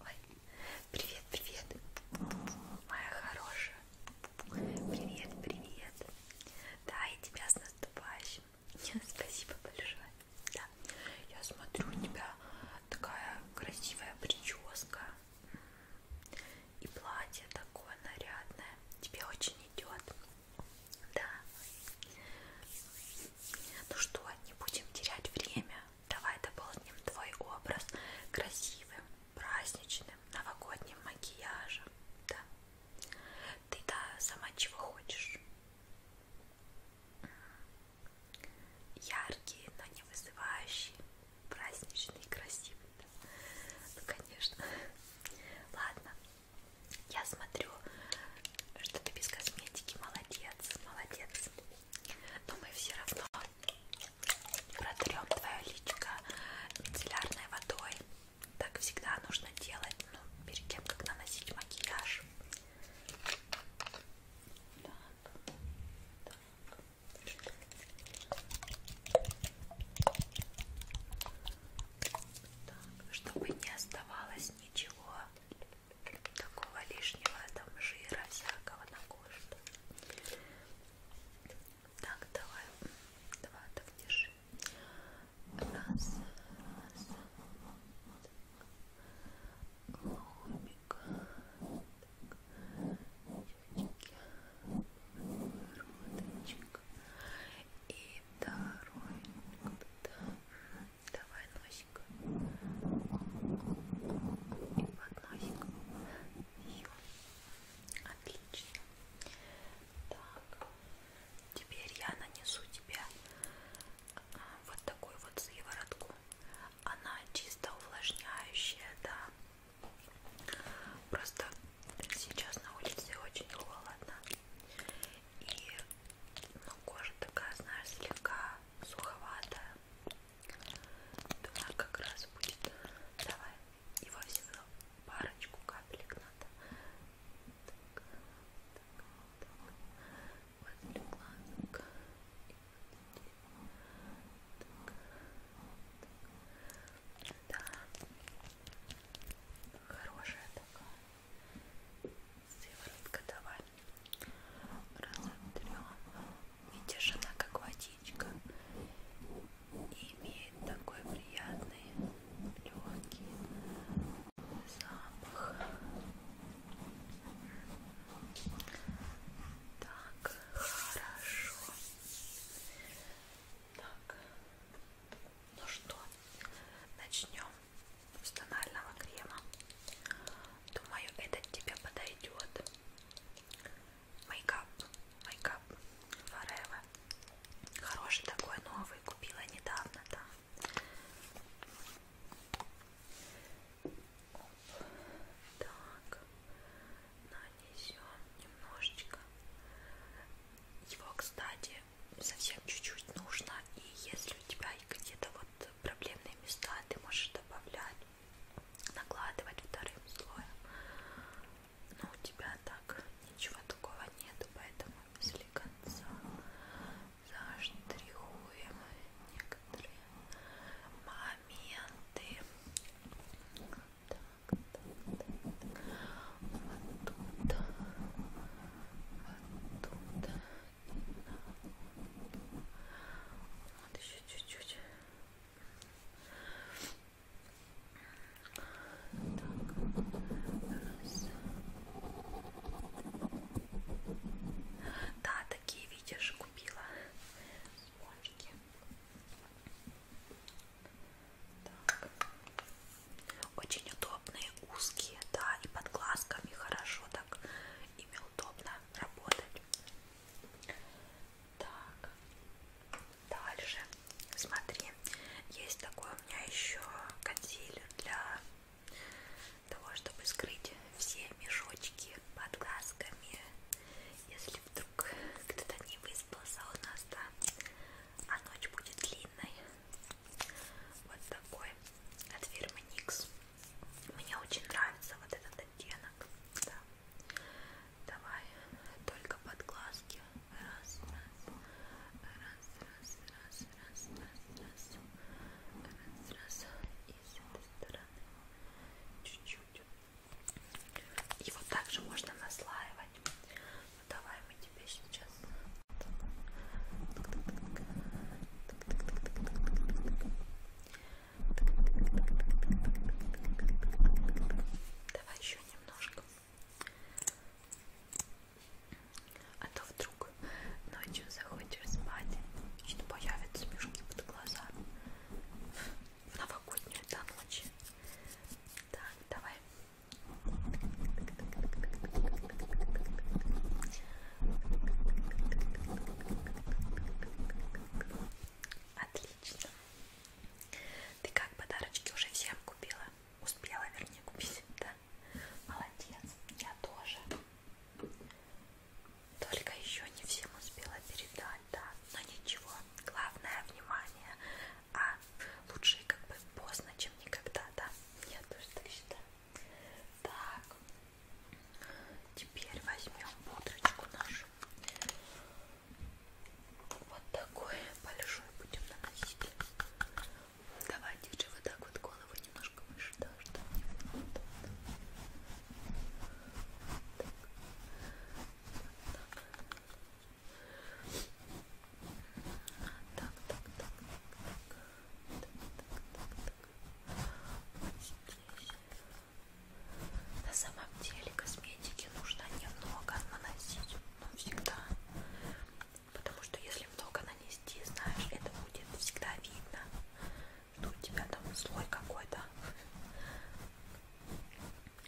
Ой, привет, привет, моя хорошая. Привет, привет. Да, и тебя с наступающим. Спасибо большое. Да, я смотрю у тебя такая красивая прическа. И платье такое нарядное. Тебе очень идет. Да. Ну что, не будем терять время. Давай дополним твой образ красивым, праздничным, новогодним макияжем. Да. Ты да сама чего хочешь. Яркие, но не вызывающие. Праздничный, красивый. Да? Ну, конечно. Ладно, я смотрю, что ты без косметики. Молодец, молодец. Но мы все равно протрем твое личико мицеллярной водой. Так всегда нужно делать, ну, перед тем, как наносить макияж. Так, так. Так, чтобы не оставалось ничего такого лишнего там жира всякого на коже. Так, давай, давай, так держи. Раз, раз. Клубик. Так. Роточек. И второй. Давай носик. И под носик. Ё. Отлично. Так. Теперь я нанесу тебе а, вот такую вот сыворотку. Она чисто увлажняющая, да. Просто сейчас на улице очень холодно. И ну, кожа такая, знаешь, слегка суховатая. Думаю, как раз будет. Давай. Его всегда парочку капелек надо. Так, так, вот возле глазок. Так, так. Да. Хорошая такая. Сыворотка давай. Разотрем. Видишь, она как водичка. Имеет такой приятный, легкий запах. Так, хорошо. Так, ну что, начнем с тонального крема. Думаю, этот тебе подойдет. Мейкап, мейкап Forever. Хороший такой новый, купила недавно, да. Так, нанесем немножечко. Его, кстати, совсем чуть-чуть нужно. И если у тебя где-то вот проблемные места, ты можешь добавлять, накладывать вторым слоем. Но у тебя так ничего такого нету, поэтому если конца заштрихуем некоторые моменты так, так, так. Оттуда, оттуда. Вот еще чуть-чуть. Да, такие видишь, купила спонжики. Так. Очень удобные, узкие, да, и под глазками хорошо так ими удобно работать. Так, дальше, смотри, есть такой у меня еще консилер для того, чтобы скрыть все мешочки под глазками, если вдруг вдруг кто-то не выспался у нас, да, а ночь будет длинной. Вот такой от фирмы Никс. Мне очень нравится вот этот оттенок. Да. Давай только под глазки. Раз, раз, раз, раз, раз, раз, раз, раз, раз, раз. И с этой стороны чуть-чуть. Его также можно наслаивать. Ну, давай мы тебе сейчас... Давай еще немножко. А то вдруг ночью захочешь спать, и появятся мешки под глазами в новогоднюю до ночи. Так, давай. Отлично. Ты как подарочки уже всем купила? Успела, вернее, купить, да? Молодец, я тоже. Только еще не всем успела передать, да. Но ничего, главное внимание. А лучше как бы поздно, чем никогда, да. Я тоже так считаю. Так, теперь возьмем пудрочку нашу. Вот такой большой будем наносить. Давайте же вот так вот голову немножко выше, да, чтобы не было. Так так, так, так, так, вот здесь. На самом деле косметики нужно немного наносить, но всегда. Потому что если много нанести, знаешь, это будет всегда видно ну, у тебя там слой какой-то.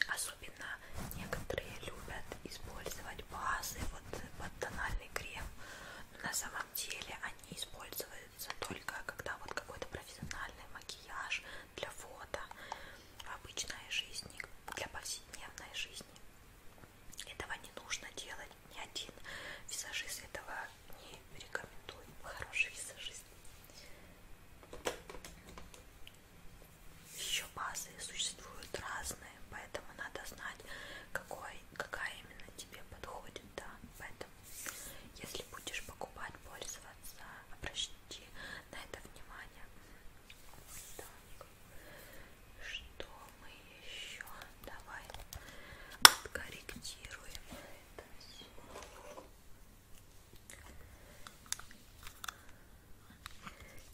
Особенно некоторые любят использовать базы вот под тональный крем. Но на самом деле они используются только когда вот какой-то профессиональный макияж для фото в обычной жизни, для повседневной жизни. Этого не нужно делать. Ни один визажист этого не рекомендует. Хороший визажист еще базы существуют разные, поэтому надо знать, какой, какая именно тебе подходит, да. Поэтому, если будешь покупать, пользоваться, обращайте на это внимание. Так, что мы еще? Давай откорректируем это все.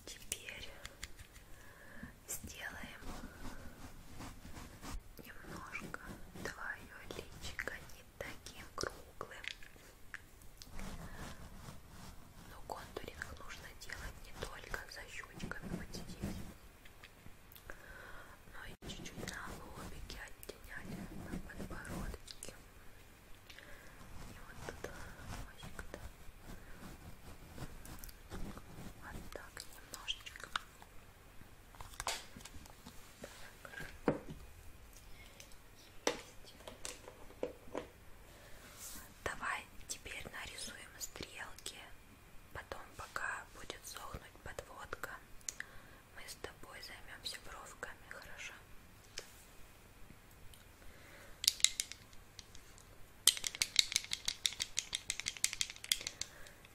Теперь сделаем немножко твое личико не таким круглым. Но контуринг нужно делать не только за щечками вот здесь, но и чуть-чуть на лобике, оттеняли на подбородке и вот туда носик да. вот так немножечко так. Давай теперь нарисуем стрелки, потом пока будет сохнуть подводка, мы с тобой займемся бровками, хорошо?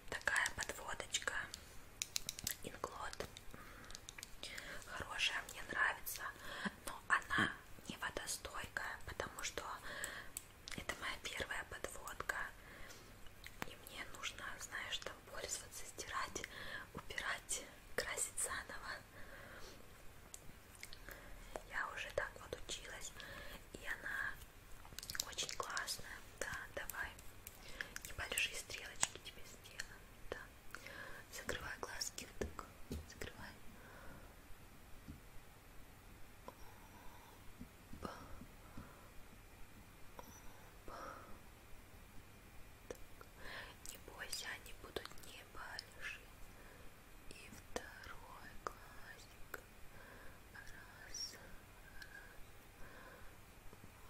Такая подводочка Инглот хорошая, мне нравится, но она не водостойкая, потому что это моя первая подводка. И мне нужно, знаешь, там пользоваться, стирать, убирать, красить заново. Я уже так вот училась, и она очень классная. Да, давай. Небольшие стрелочки тебе сделаем. Да. Закрывай глазки. Вот так. Закрывай. Оп. Оп. Так. Не бойся, они будут не большие. И второй глазик. Раз, раз.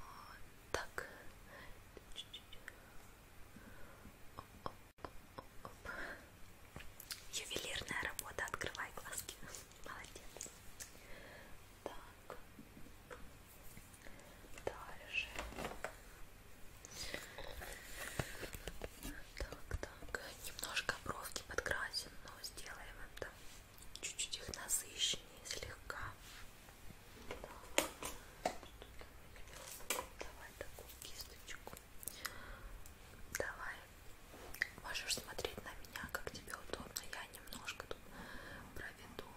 Вот так. Оп, оп, оп, оп. Ювелирная работа. Открывай глазки. Молодец. Так. Дальше. Так, так. Немножко бровки подкрасим, но сделаем это чуть-чуть их насыщеннее слегка. Так. Давай такую кисточку. Давай. Можешь смотреть на меня, как тебе удобно. Я немножко тут про виду,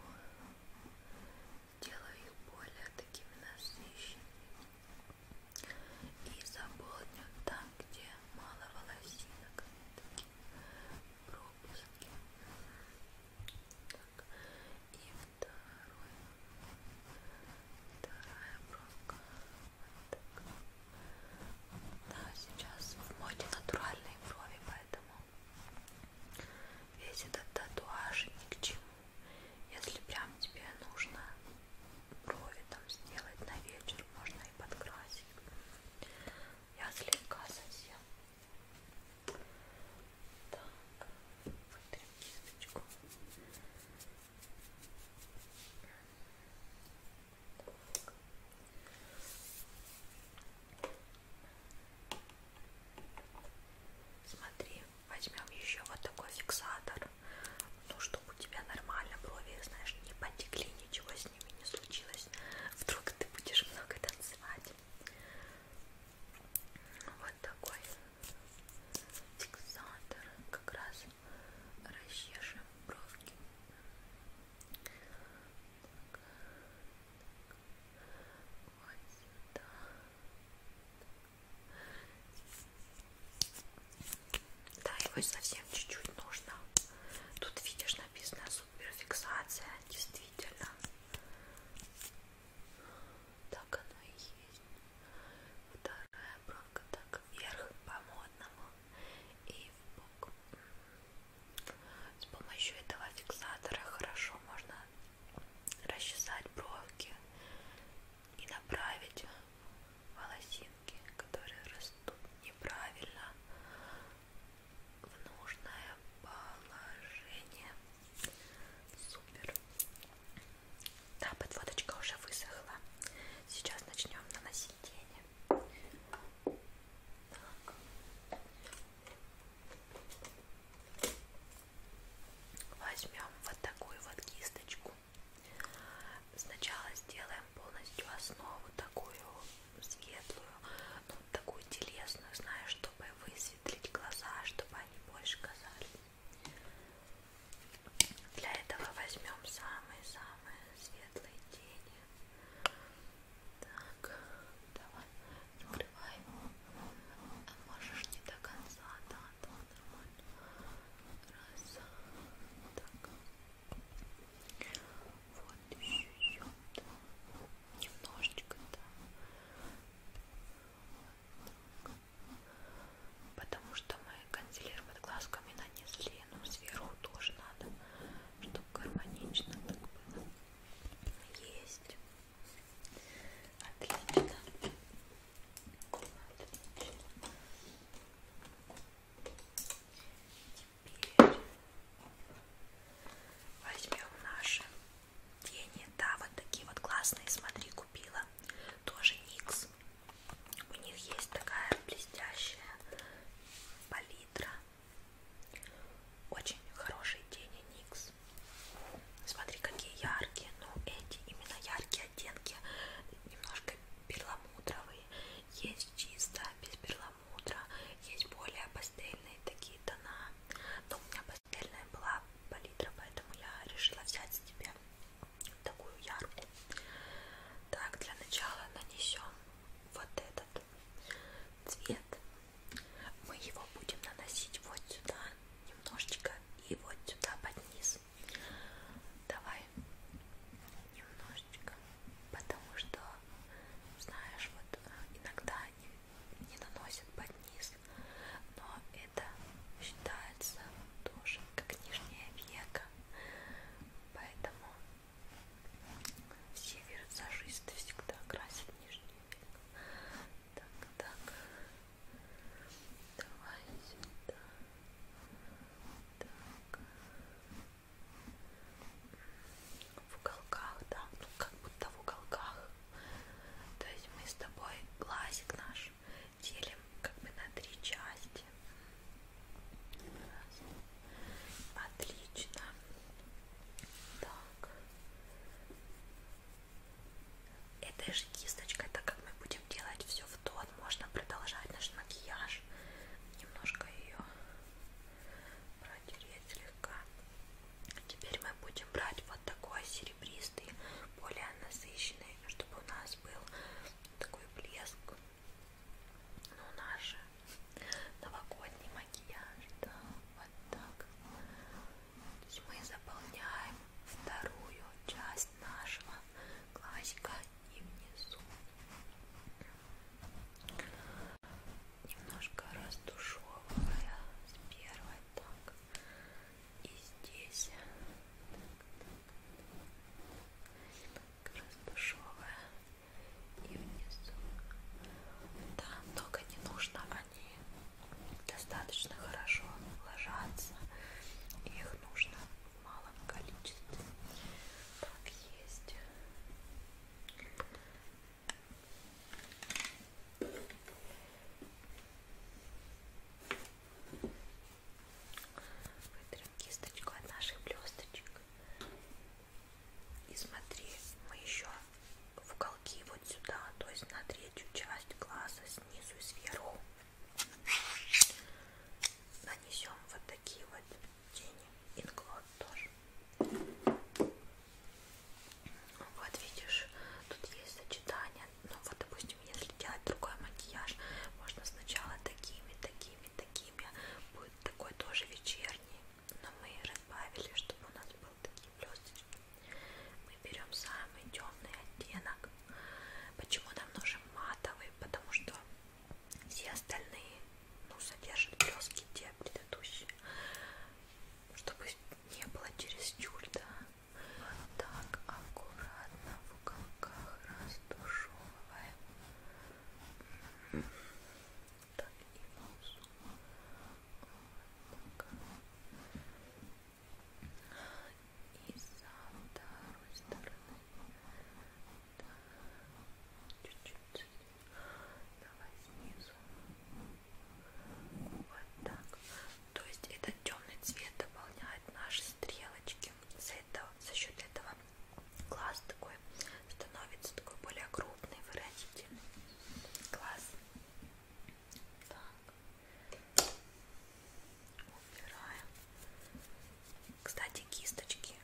делаю их более такими насыщенными и заполню там, где мало волосинок, такие пропуски. Так, и второй, вторая бровка. Вот так. Да, сейчас в моде натуральные брови, поэтому Весь этот татуаж ни к чему. Если прям тебе нужно брови там сделать на вечер, можно и подкрасить. Я слегка совсем. Так, вытрем кисточку. Так. Смотри, возьмем еще вот такой фиксатор, ну чтобы у тебя нормально брови, знаешь, не потекли, ничего с ними не случилось. Вдруг ты будешь много танцевать. Вот такой фиксатор, как раз расчешем бровки. Так вот сюда. Да, его совсем чуть-чуть нужно. Тут видишь написано суперфиксация, действительно. Так оно и есть. Вторая бронка так вверх по модному и в бок. С помощью этого фиксатора хорошо можно расчесать бровки и направить волосинки, которые растут неправильно, в нужное положение. Супер. Да, подводочка уже высохла. Сейчас начнем наносить тени. Так. Возьмем вот такую вот кисточку. Сначала сделаем полностью основу такую светлую, ну, такую телесную, знаешь, чтобы высветлить глаза, чтобы они больше казались. Для этого возьмем самые-самые светлые тени. Так, давай, закрывай. А можешь не до конца, да, да, нормально. Раз, так. Вот еще немножечко, да. Вот Потому что мы консилер под глазками нанесли, но сверху тоже надо, чтобы гармонично так было. Есть. Отлично. Отлично. Теперь возьмем наши тени. Да, вот такие вот классные. Смотри, купила. Тоже Никс. У них есть такая блестящая палитра. Очень хорошие тени Никс. Смотри, какие яркие. Ну, эти именно яркие оттенки. Немножко перламутровые. Есть чисто, без перламутра. Есть более пастельные такие тона. Но у меня пастельная была палитра, поэтому я решила взять себе такую яркую. Так, для начала нанесем вот этот цвет мы его будем наносить вот сюда немножечко и вот сюда под низ давай немножечко потому что знаешь вот э, иногда не, не наносят под низ но это считается тоже как нижнее веко поэтому все вирусажисты всегда красят нижнее веко. Так, так. Давай сюда. Так. В уголках, да. Ну, как будто в уголках. То есть мы с тобой глазик наш делим как бы на три части. Раз. Отлично. Так. Этой же кисточкой, так как мы будем делать все в тон, можно продолжать наш макияж. Немножко ее протереть слегка. А теперь мы будем брать вот такой серебристый, более насыщенный, чтобы у нас был такой блеск ну, наш новогодний макияж, да, вот так. То есть мы заполняем вторую часть нашего глазика и внизу. Немножко растушевывая с первой так. И здесь так, так, так, так, растушевывая и внизу. Да, много не нужно, они достаточно хорошо ложатся, их нужно в малом количестве. Так есть. Вытрем берем кисточку от наших блесточек и смотри, мы еще в уголки вот сюда, то есть на третью часть глаза снизу и сверху нанесем вот такие вот тени, инглот тоже. Вот видишь, тут есть сочетание, ну вот допустим, если делать другой макияж, можно сначала такими, такими, такими будет такой тоже вечерний, но мы разбавили, чтобы у нас был такие блесточки. Мы берем самый темный оттенок. Почему нам нужен матовый? Потому что все остальные ну, содержат блестки те предыдущие, чтобы не было через тюль, да? Вот так аккуратно в уголках растушевываем так, и нос. Вот так. И со второй стороны. Чуть-чуть. Давай снизу. Вот так. То есть этот темный цвет дополняет наши стрелочки. За, это, за счет этого Глаз такой становится такой более крупный, выразительный. Глаз. Так. Убираем. Кстати, кисточки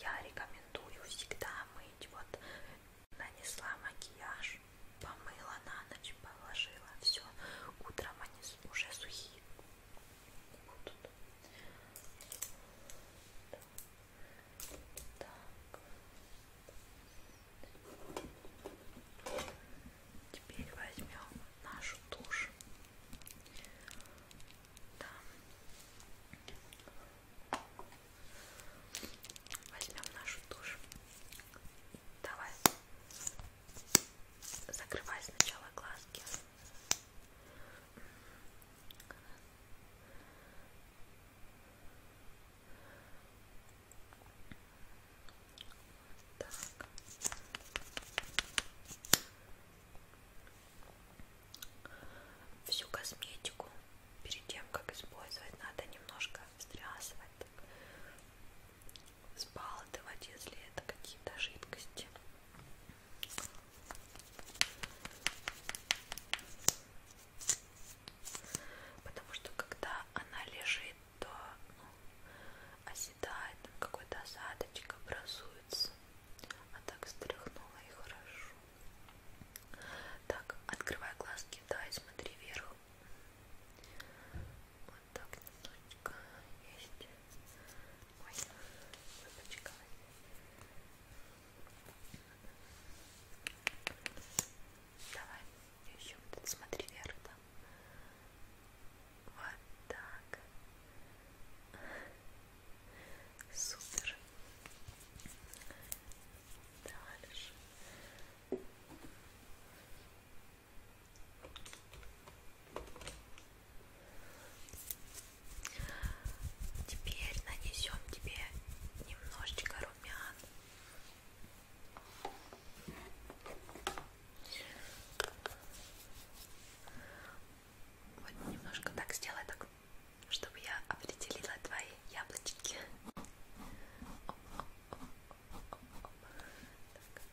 я рекомендую всегда мыть. Вот нанесла макияж, помыла на ночь, положила все. Утром они уже сухие будут. Так. Теперь возьмем нашу тушь. Да. Возьмем нашу тушь. Давай. Закрывай сначала глазки. Вот так. Всю косметику перед тем, как использовать, надо немножко встрясывать, сбалтывать, если это какие-то жидкости. Потому что когда она лежит, то ну, оседает, там какой-то осадочек образуется. А так стряхнула и хорошо. Так, открывай глазки, да, и смотри вверх. Вот так немножечко есть мой выпачка. Давай еще вот смотри вверх там. Вот так. Супер. Дальше. Теперь нанесем тебе немножечко румян. Вот немножко так сделай, так, чтобы я определила твои яблочки. Оп, оп, оп, оп, оп, оп. Так.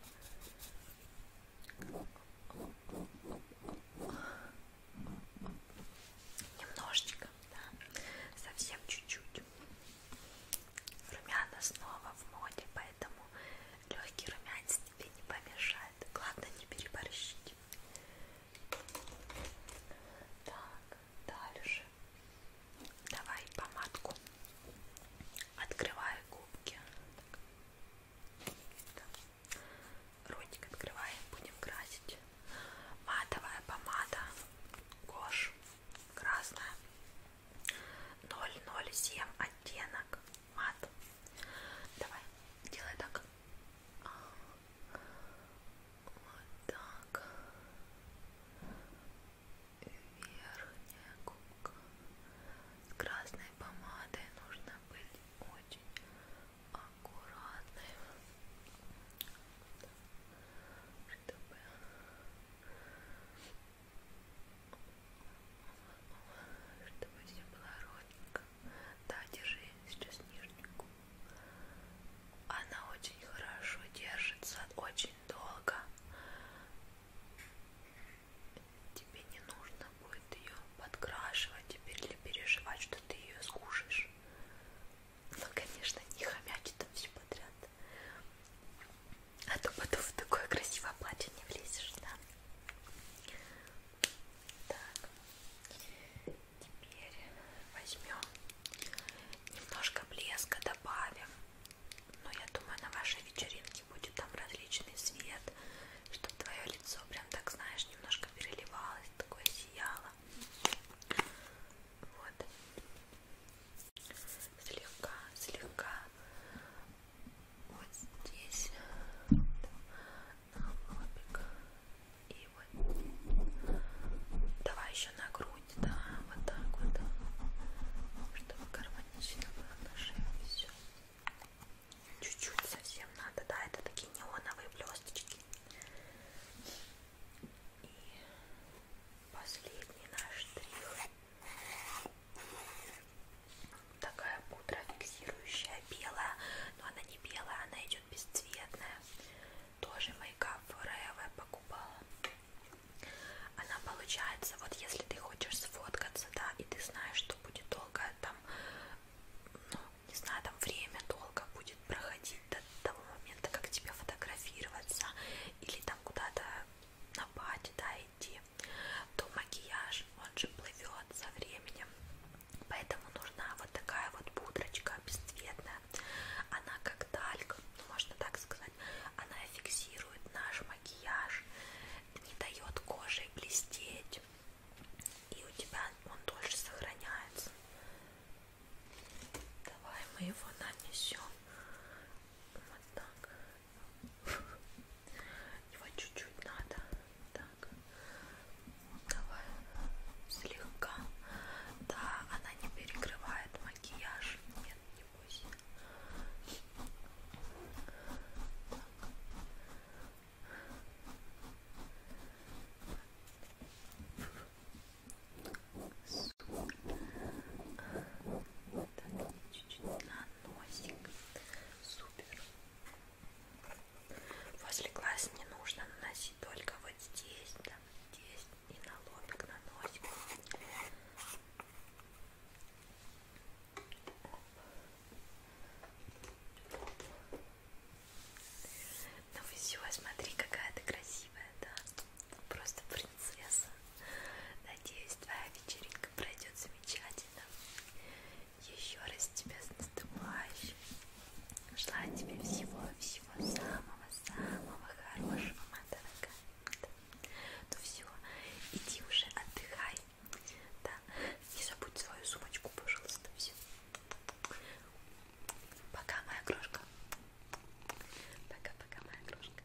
Немножечко, да, совсем чуть-чуть. Румяна снова в моде, поэтому легкий румянец тебе не помешает. Главное не переборщить. Так, дальше. Давай помадку. Открывай губки. Так. Ротик открываем, будем красить. Матовая помада Гош, красная, 007 оттенок, мат. Давай, делай так. Вот так. Верхняя губка с красной зеленой помадой нужно быть очень аккуратной, чтобы чтобы все было ровненько. Да, держи сейчас нижнюю губу. Она очень хорошо держится, очень долго тебе не нужно будет ее подкрашивать теперь или переживать, что ты ее скушаешь. Ну, конечно, не хомячит там все подряд. А то потом в такое красивое платье не влезешь, да? Так, теперь возьмем немножко блеска добавим. Но я думаю, на вашей вечеринке и будет там различный свет, чтобы твое лицо прям так, знаешь, немножко переливалось, такое сияло. Вот. Слегка, слегка. Вот здесь. На лобик. И вот. Давай еще на грудь, да, вот так вот. Чтобы гармонично было на шее все. Чуть-чуть совсем надо, да, это такие неоновые блесточки. И последний наш штрих. Такая пудра фиксирующая, белая, но она не белая, она идет бесцветная. Тоже мейкап Forever покупала. Она получается фраза, вот если ты хочешь сфоткаться, да, и ты знаешь, что будет долго там, ну, не знаю, там время долго будет проходить до того момента, как тебе фотографироваться, или там куда-то на пати, да, идти, то макияж, он же плывет со временем, поэтому нужна вот такая вот пудрочка бесцветная, она как тальк, ну, можно так сказать, она фиксирует наш макияж, не дает коже блестеть, и у тебя он дольше сохраняется. Давай мы его нанесем. Вот так. Его чуть-чуть надо. Так. Давай. Слегка. Да, она не перекрывает макияж. Нет, не бойся. Так, чуть-чуть на носик. Супер. Возле глаз не нужно наносить только вот здесь, там, здесь и на лобик, на носик. Ну все, смотри, какая ты красивая, да? Просто принцесса. Надеюсь, твоя вечеринка пройдет замечательно. Еще раз тебя с наступающим. Желаю тебе всего-всего самого-самого хорошего, моя дорогая. Да. Ну все, иди уже отдыхай. Да, не забудь свою сумочку, пожалуйста. Все. Пока, моя крошка. Пока-пока, моя крошка.